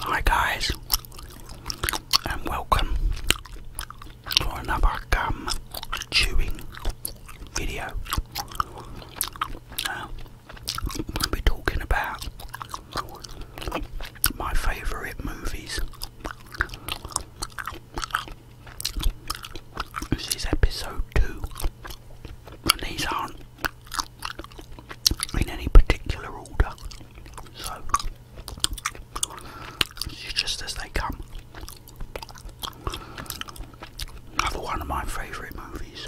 Hi guys and welcome to another gum chewing video. I'm going to be talking about my favourite movies. This is episode two these aren't in any particular order. So just as they come. Another one of my favourite movies.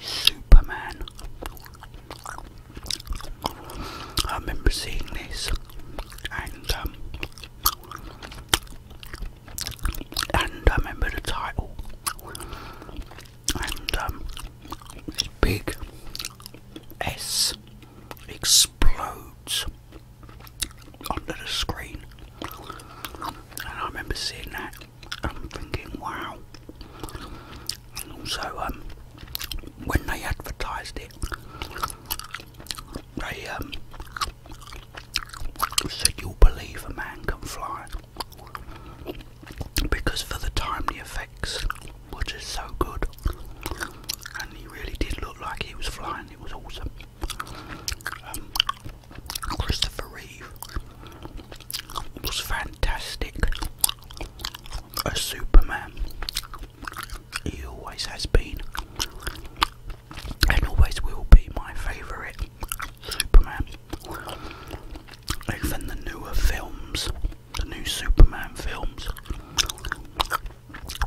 Superman. I remember seeing this and um, and um, I remember the title and um, this big S explodes under the screen and I remember seeing that I'm thinking wow and also um, when they advertised it they um, so you'll believe a man can fly. Because for the time the effects were just so good. And he really did look like he was flying, it was awesome. Um, Christopher Reeve was fantastic A Superman. He always has been and always will be my favourite Superman. Even the newer films, the new Superman films,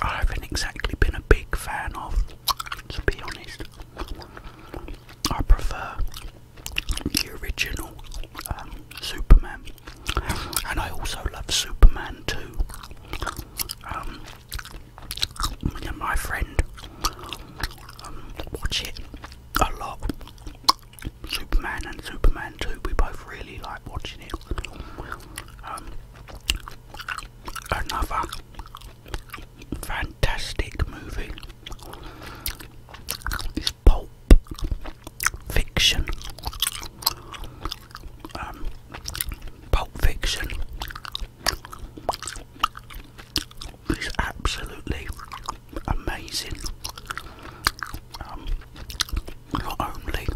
I haven't exactly been a big fan of, to be honest. I prefer the original um, Superman, and I also love Superman too. Um, and my friend um, watch it a lot. Superman and Superman 2, we both really like watching it. Um, another fantastic movie is Pulp Fiction. Um, Pulp Fiction it's absolutely amazing. Um, not only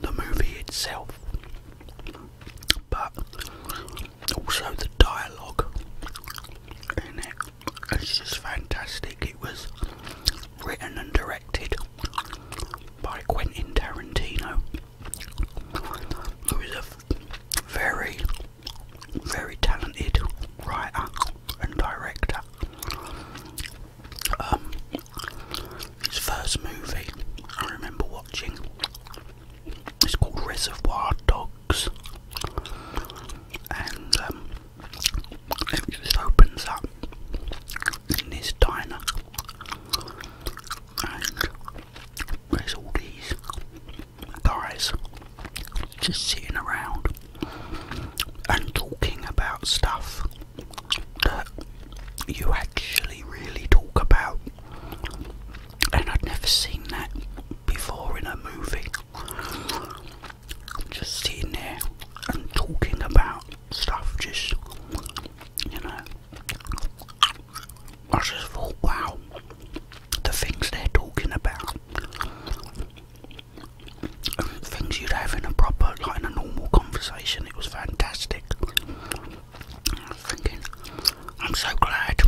the movie itself, but also the dialogue in it. It's just fantastic. It was written and directed by Quentin Tarantino who is a very, very talented writer and director. Um, his first movie I remember watching is called Reservoir Dogs, and um, it just opens up in this diner and all these guys just sitting around and talking about stuff that you actually really talk about, and I'd never seen that before in a movie. Just sitting there and talking about stuff, just you know, wow, the things they're talking about, things you'd have in a proper, like in a normal conversation, it was fantastic. I was thinking, I'm so glad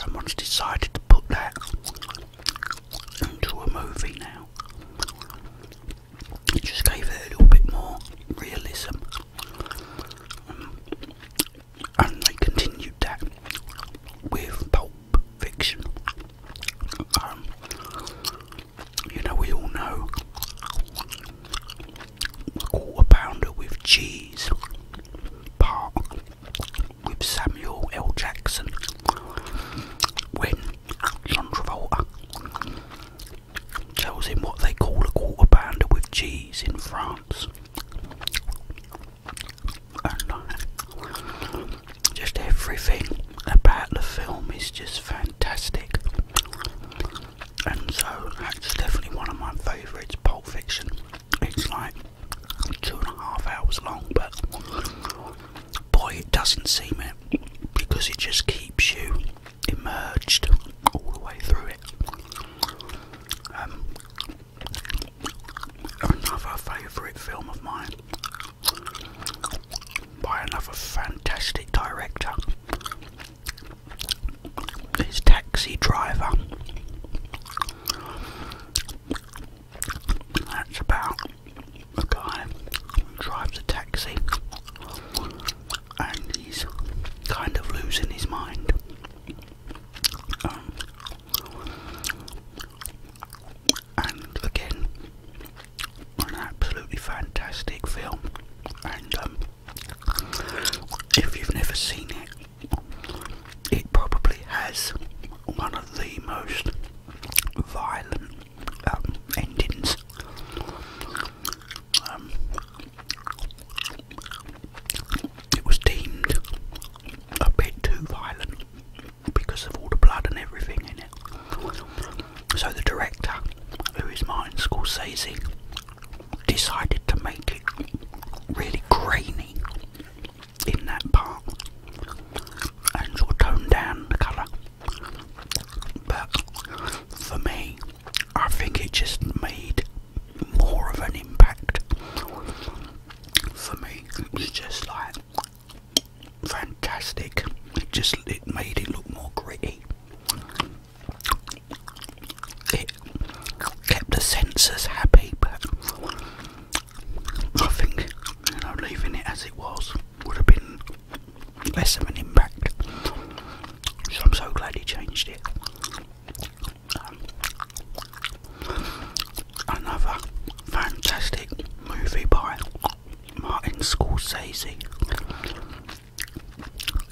someone's decided to put that into a movie now it just gave it a little bit more realism. Um, and they continued that with Pulp Fiction. Um, you know, we all know quarter pounder with cheese part with Samuel L. Jackson when John Travolta Tells him what they call a quarter pounder with cheese in France. And uh, just everything about the film is just fantastic. And so that's definitely one of my favourites, Pulp Fiction. It's like two and a half hours long, but boy, it doesn't seem it because it just keeps you emerged all the way through it. Um, another favourite film of mine by another fantastic director is Taxi Driver. That's about a guy drives a taxi and he's kind of losing his mind. Um, and again, an absolutely fantastic film. And um, if you've never seen it, it probably has one of the most violent um, endings. Um, it was deemed a bit too violent because of all the blood and everything in it. So the director, who is Martin Scorsese, decided to make it really grainy in that part and sort of tone down the colour but for me, I think it just made more of an impact. For me, it was just like fantastic. It just it made it look more gritty. It kept the sensors happy, but I think leaving it as it was would have been less of an impact. I'm so glad he changed it. another fantastic movie by Martin Scorsese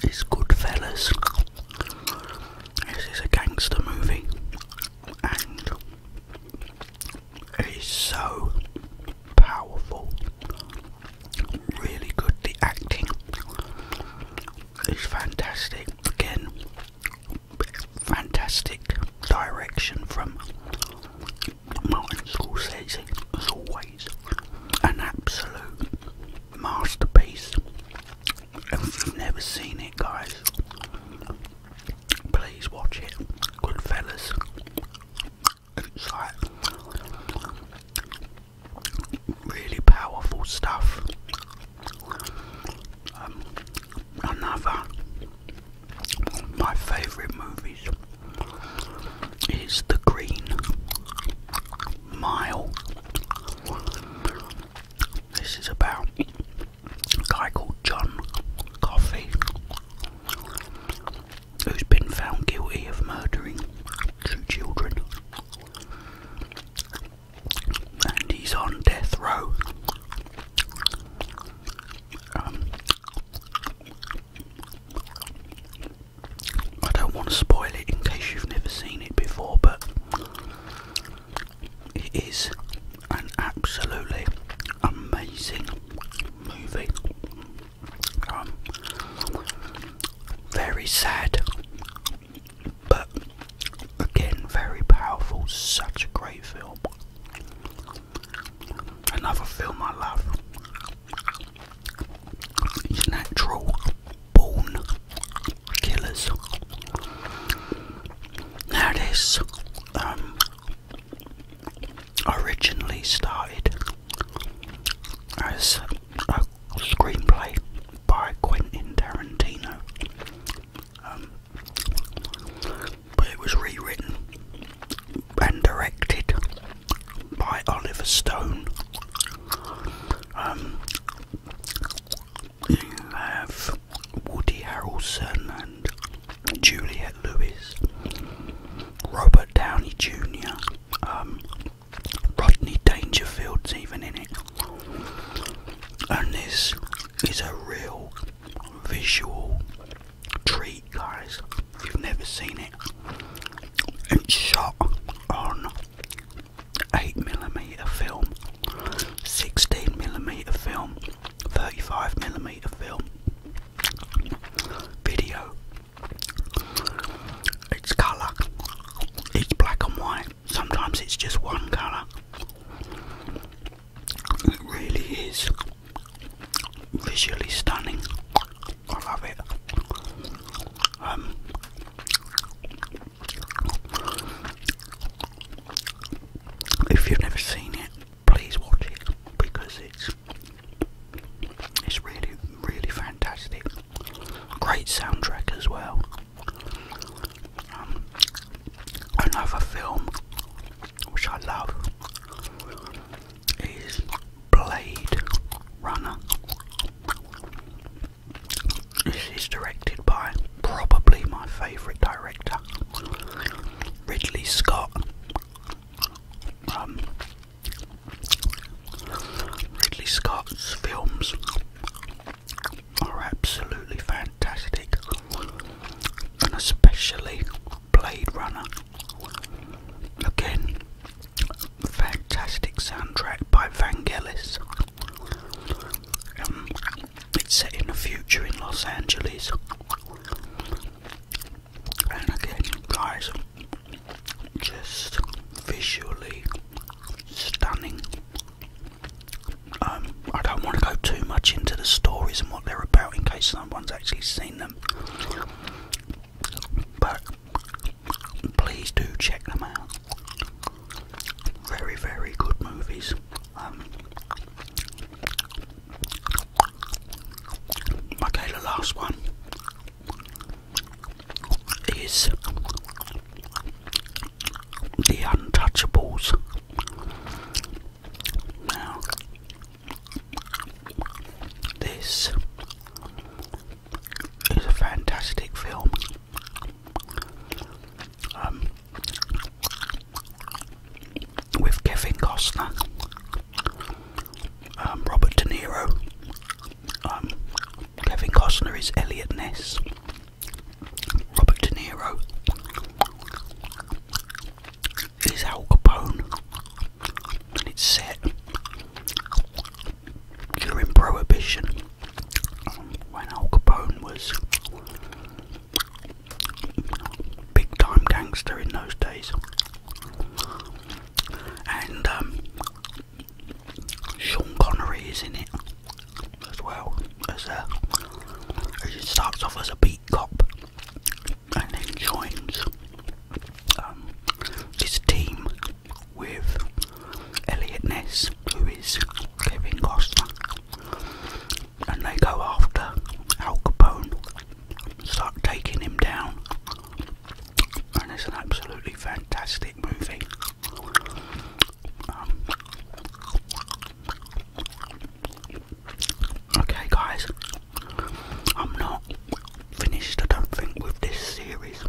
is Goodfellas. This is a gangster movie, it is so powerful, really good. The acting is fantastic. Again, fantastic direction from Martin Scorsese, as always. An absolute masterpiece. If you've never seen it, guys, please watch it. Goodfellas, it's like really powerful stuff. Um, another my favourite movies is The Green Mile. This is about a guy called John Coffey, who's been found guilty of murdering two children, and he's on death row. Um, I don't want to spoil it in case you've never seen it before, but it is an absolutely amazing movie. Um, very sad, but again, very powerful. Such a great film. Another film I love is Natural Born Killers. Now, this um, originally started as a screenplay by Quentin Tarantino, um, but it was rewritten and directed by Oliver Stone. Um, Woody Harrelson and Juliette Lewis, Robert Downey Jr., um, Rodney Dangerfield's even in it. And this is a real visual treat, guys. If you've never seen it, it's shot on 8mm film, 16mm film, 35 millimeter film video. It's colour, it's black and white, sometimes it's just one colour. It really is visually stunning. I love it. Um, if you've never seen it, please watch it because it's it's really really fantastic. Great soundtrack as well. Um, another film which I love is Blade Runner. This is directed by probably my favourite director, Ridley Scott. Um, Ridley Scott's films are absolutely fantastic, especially Blade Runner. Again, fantastic soundtrack by Vangelis. Um, it's set in the future in Los Angeles. And again, guys, just visually stunning. Um, I don't want to go too much into the stories and what they're about in case someone's actually seen them. But please do check them out very, very good movies. Um, okay, the last one is The Untouchables. Now, this is a fantastic film. Um, with Kevin Costner, um, Robert De Niro. Um, Kevin Costner is Elliot Ness. Robert De Niro is Al Capone, and it's set during Prohibition when Al Capone was big time gangster in those days, and um, Sean Connery is in it as well as a. he starts off as a beat cop, and then joins um, this team with Elliot Ness, who is Kevin Costner, and they go after Al Capone, start taking him down, and it's an absolutely fantastic movie. Um, okay, guys, I'm not finished, I don't think, with this series.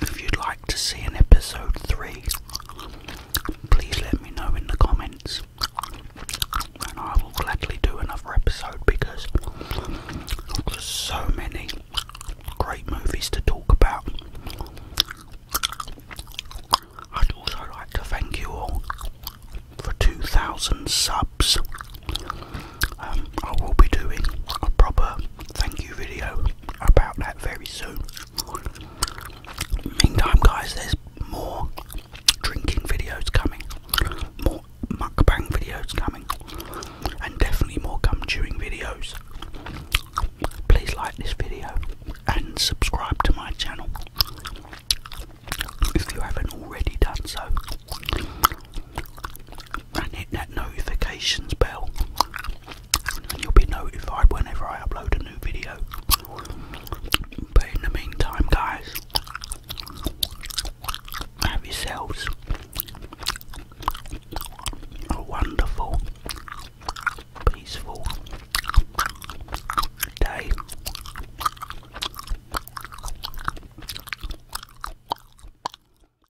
If you'd like to see an episode 3, please let me know in the comments, and I will gladly do another episode because there's so many great movies to talk about. I'd also like to thank you all for 2,000 subs. Um, I will be doing a proper thank you video about that very soon. Meantime, guys, there's more drinking videos coming, more mukbang videos coming, and definitely more gum chewing videos. Please like this video and subscribe to my channel if you haven't already done so and hit that notifications bell, and you'll be notified whenever I upload a new video. But in the meantime, guys, have yourselves a wonderful, peaceful day.